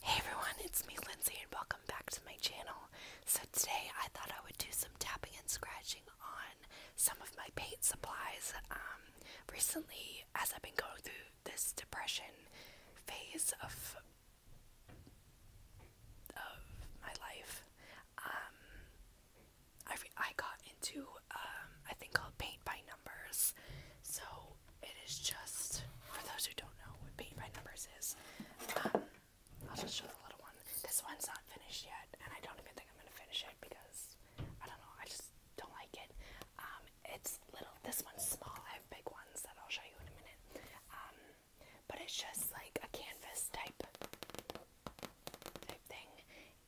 Hey everyone, it's me Lindsay and welcome back to my channel. So today I thought I would do some tapping and scratching on some of my paint supplies. Um, recently, as I've been going through this depression phase of, of my life, um, I, I got into um, a thing called paint by numbers. So it is just for those who don't know what paint by numbers is. Um, I'll just show the little one. This one's not finished yet, and I don't even think I'm gonna finish it because I don't know. I just don't like it. Um, it's little. This one's small. I have big ones that I'll show you in a minute. Um, but it's just like a canvas type type thing,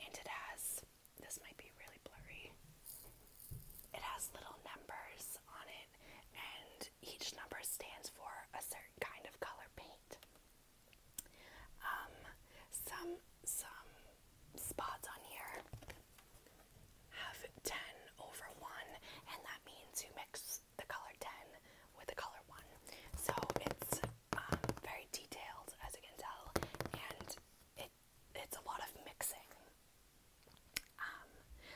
and it has. This might be really blurry. It has little numbers on it and each number stands for a certain kind of color paint. Um, some some spots on here have ten over one, and that means you mix the color ten with the color one. So it's um, very detailed, as you can tell, and it it's a lot of mixing. Um,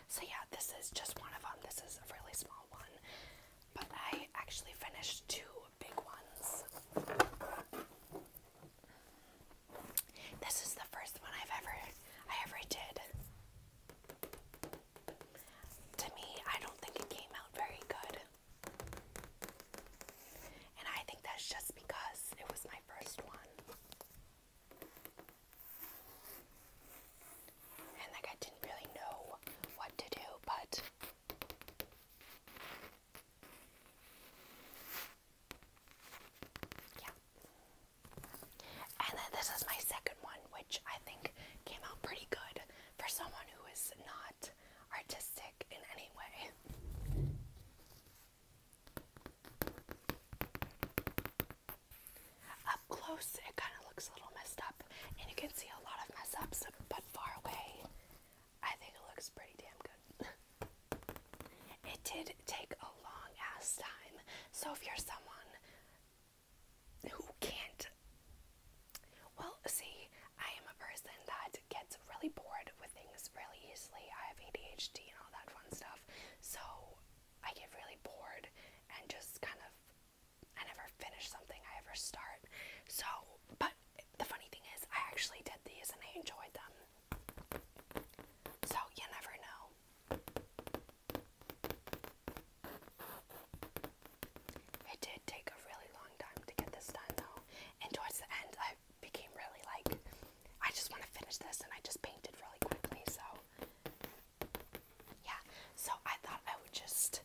so yeah, this is just one of them. This is a really small one, but I actually finished two big ones. This is the first one I've ever I ever did. To me, I don't think it came out very good. And I think that's just because it was my first one. And like I didn't really know what to do, but yeah. And then this is my second one, which I think came out pretty good for someone who is not artistic in any way. Up close, it kind of looks a little messed up, and you can see a lot of mess ups, but far away, I think it looks pretty damn good. it did take a long ass time, so if you're someone who can't, well, see, I am a person that gets really bored with things really easily. I have ADHD and all that fun stuff, so I get really bored and just kind of I never finish something I ever start. So, but the funny thing is, I actually did these and I enjoyed them. So, you never know. It did take a really long time to get this done though. And towards the end, I became really like I just want to finish this and I just painted really quickly, so yeah. So I thought I would just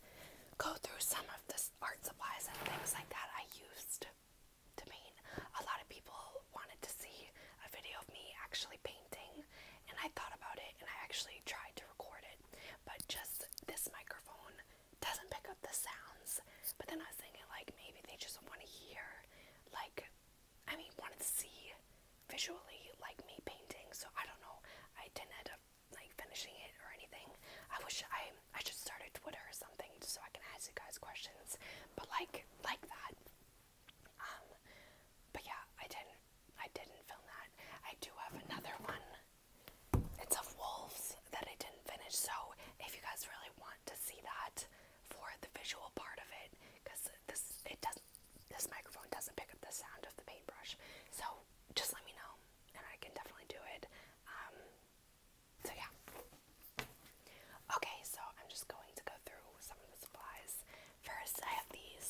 go through some of the art supplies and things like that I used to paint. A lot of people wanted to see a video of me actually painting, and I thought about it and I actually tried to record it, but just this microphone doesn't pick up the sounds. But then I was thinking, like, maybe they just want to hear, like, I mean, wanted to see visually like me painting. So I don't know. I didn't end up like finishing it or anything. I wish I I should start a Twitter or something so I can ask you guys questions. But like like that. Um, but yeah, I didn't I didn't film that. I do have another one. It's of wolves that I didn't finish. So if you guys really want to see that for the visual part of it because this it doesn't this microphone doesn't pick up the sound of the paintbrush. So just let me know and I can definitely do it. Um, so yeah. Okay, so I'm just going to go through some of the supplies. First, I have these.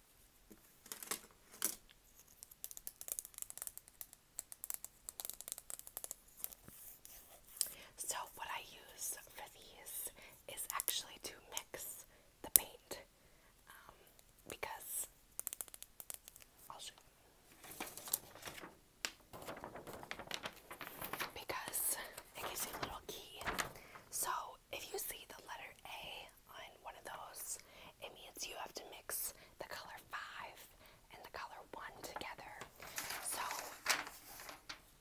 So, what I use for these is actually to mix the paint um, because Because it gives you a little key. So, if you see the letter A on one of those, it means you have to mix the color 5 and the color 1 together. So,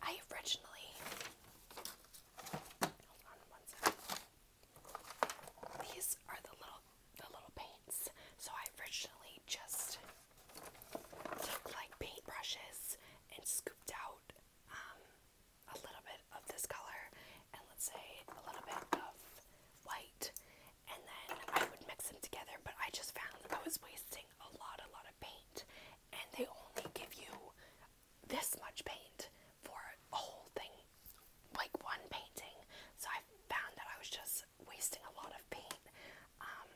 I originally. These are the little the little paints. So I originally just took like paint brushes and scooped out um, a little bit of this color and let's say a little bit of white and then I would mix them together but I just found I was wasting a lot a lot of paint and they only give you this much paint for a whole thing like one painting so I found that I was just wasting a lot of paint um,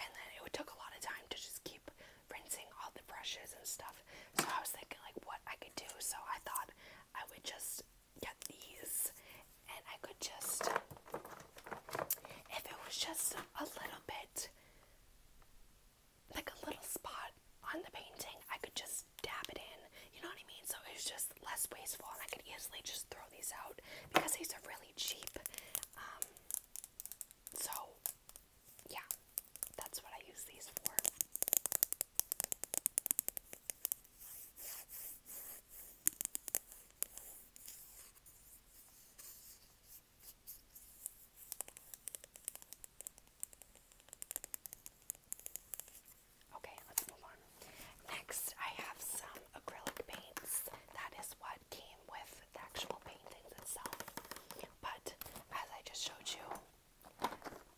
and then it took a lot of time to just keep rinsing all the brushes and stuff so I was thinking like what I could do so I thought I would just get these and I could just, if it was just a little bit, like a little spot on the painting, I could just dab it in. You know what I mean? So it's just less wasteful, and I could easily just throw these out because these are really cheap. Um, so yeah, that's what I use these for. Okay, let's move on. Next, I have some acrylic paints. That is what came with the actual paintings itself. But as I just showed you,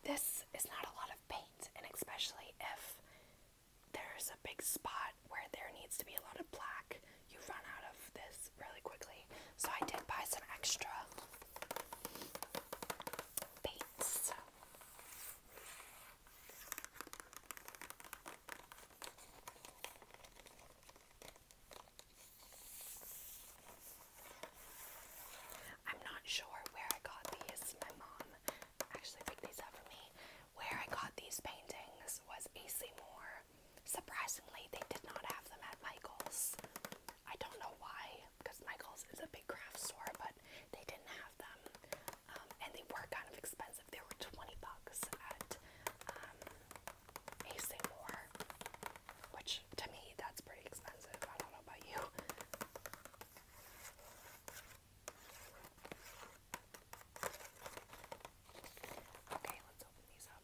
this is not a lot of paint, and especially if there's a big spot where there needs to be a lot of black, you run out of this really quickly. So I did buy some extra paints. I'm not sure where I got these. My mom actually picked these up for me. Where I got these paintings was AC Moore. Surprisingly, they did not have them at Michael's. I don't know why, because Michael's is a big craft store, but they didn't have them. Um, and they were kind of expensive. They were 20 bucks at um, AC Moore, which to me that's pretty expensive. I don't know about you. Okay, let's open these up.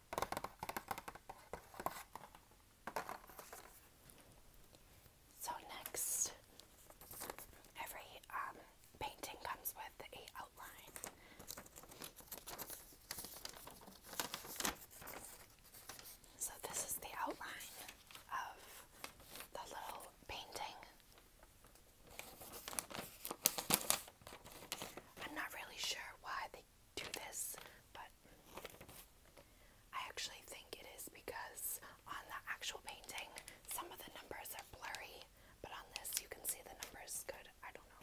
So next, every um, painting comes with a outline. So this is the outline of the little painting. I'm not really sure why they I do this, but I actually think it is because on the actual painting, some of the numbers are blurry, but on this, you can see the numbers good. I don't know.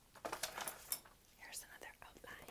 Here's another outline.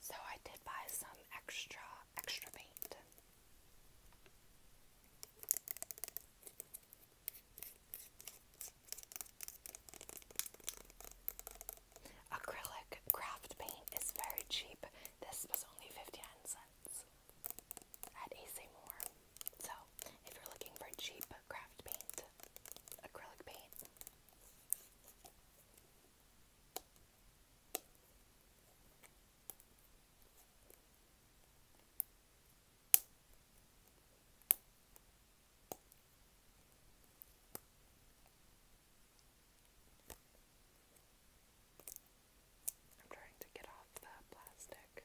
So I did buy some extra extra paint. Acrylic craft paint is very cheap. This was only 59 cents at AC So, if you're looking for cheap craft paint, acrylic paint. I'm trying to get off the plastic.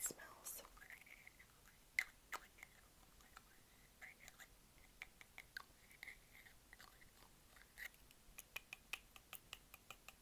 It smells.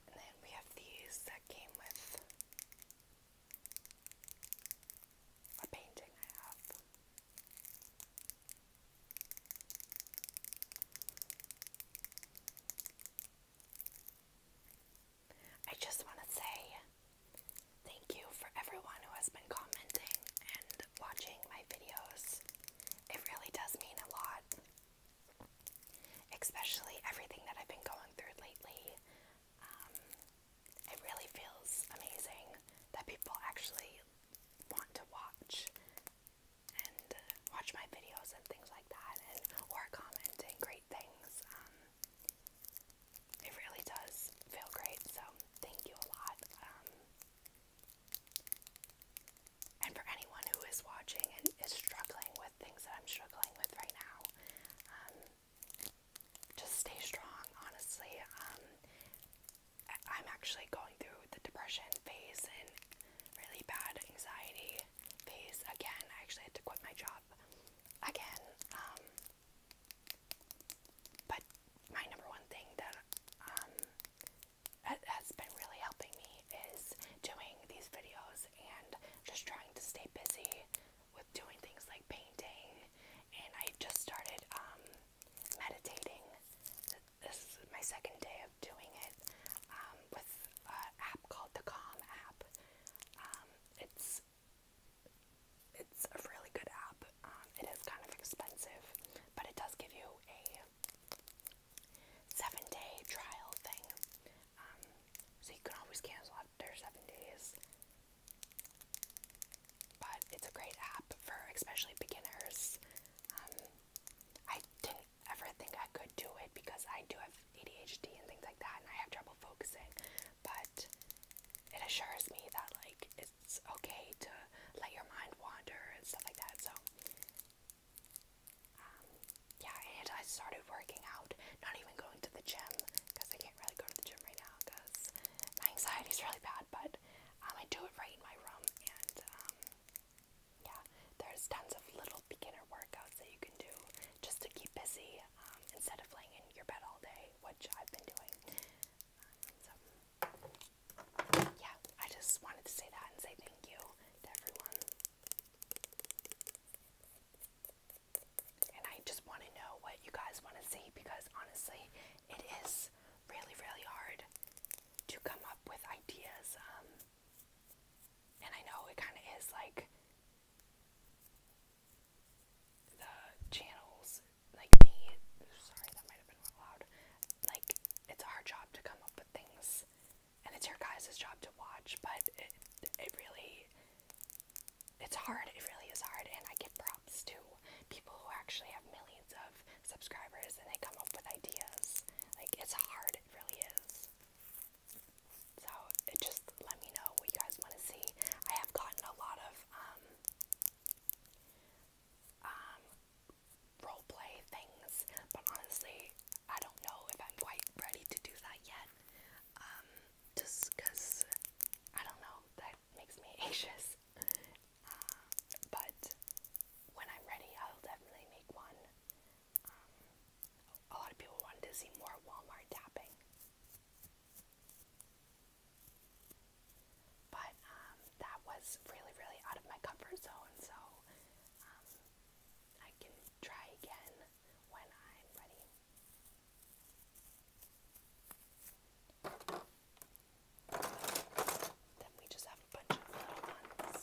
And then we have these that came with a painting I have. I just want to say thank you for everyone who has been commenting and watching my videos. It really does mean a lot, especially everything that I've been going through lately. Um, it really feels amazing that people actually want to watch and watch my videos and things like that and or comment and great things. Um, it really does feel great, so thank you a lot. Um, and for anyone who is watching and is struggling with things that I'm struggling with right now, um, just stay strong, honestly. I'm actually going through the depression phase and really bad anxiety phase again. I actually had to quit my job again. Um, but my number one thing um, that has been really helping me is doing these videos and just trying to stay busy with doing things like painting. And I just started um, meditating. This is my second day of doing it with an app called the Calm app. Um, it's it's a really good app. Um, it is kind of expensive, but it does give you a seven day trial thing. Um, so you can always cancel after seven days. But it's a great app for especially beginners. I didn't ever think I could do it because I do have ADHD and things like that, and I have trouble focusing. But it assures me that like it's okay to let your mind wander and stuff like that. So um, yeah, and I started working out, not even going to the gym because I can't really go to the gym right now because my anxiety is really bad. But um, I do it right in my room, and um, yeah, there's tons of little beginner workouts that you can do just to keep busy um, instead of laying in your bed all day, which I've been doing. so, yeah, I just wanted to say that and say thank you to everyone. And I just want to know what you guys want to see because honestly, it is really, really hard to come up with ideas. Um, and I know it kind of is like the channels, like Sorry, that might have been loud. Like, it's our job to come up with things, and it's your guys' job to watch, but it, it really. It's hard, it really is hard, and I give props to people who actually have millions of subscribers and they come up with ideas. Like, it's hard, it really is. So just let me know what you guys want to see. I have gotten a lot of um, um, role play things, but honestly, I don't know if I'm quite ready to do that yet. Um, just because I don't know, that makes me anxious. Uh, but when I'm ready, I'll definitely make one. Um, a lot of people wanted to see more Walmart tapping. But um, that was really, really out of my comfort zone, so um, I can try again when I'm ready. Then we just have a bunch of little ones.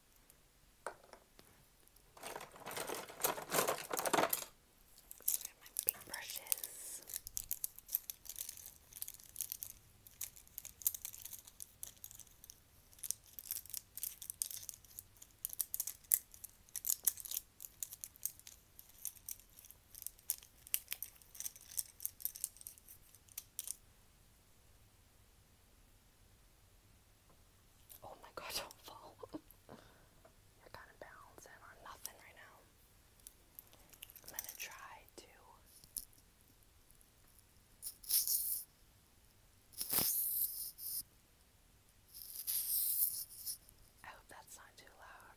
So I have my big brushes. Okay, Oh my god, don't fall. You're kind of balancing on nothing right now. I'm gonna try to. I hope that's not too loud.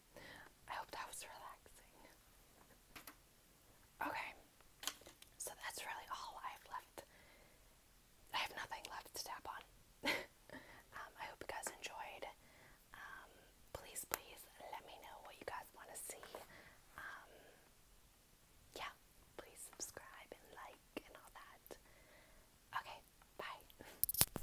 I hope that was relaxing. Okay, so that's really all I have left. I have nothing left to tap on. Um, I hope you guys enjoyed. Um, please, please let me know what you guys want to see. Um, yeah, please subscribe and like and all that. Okay, bye.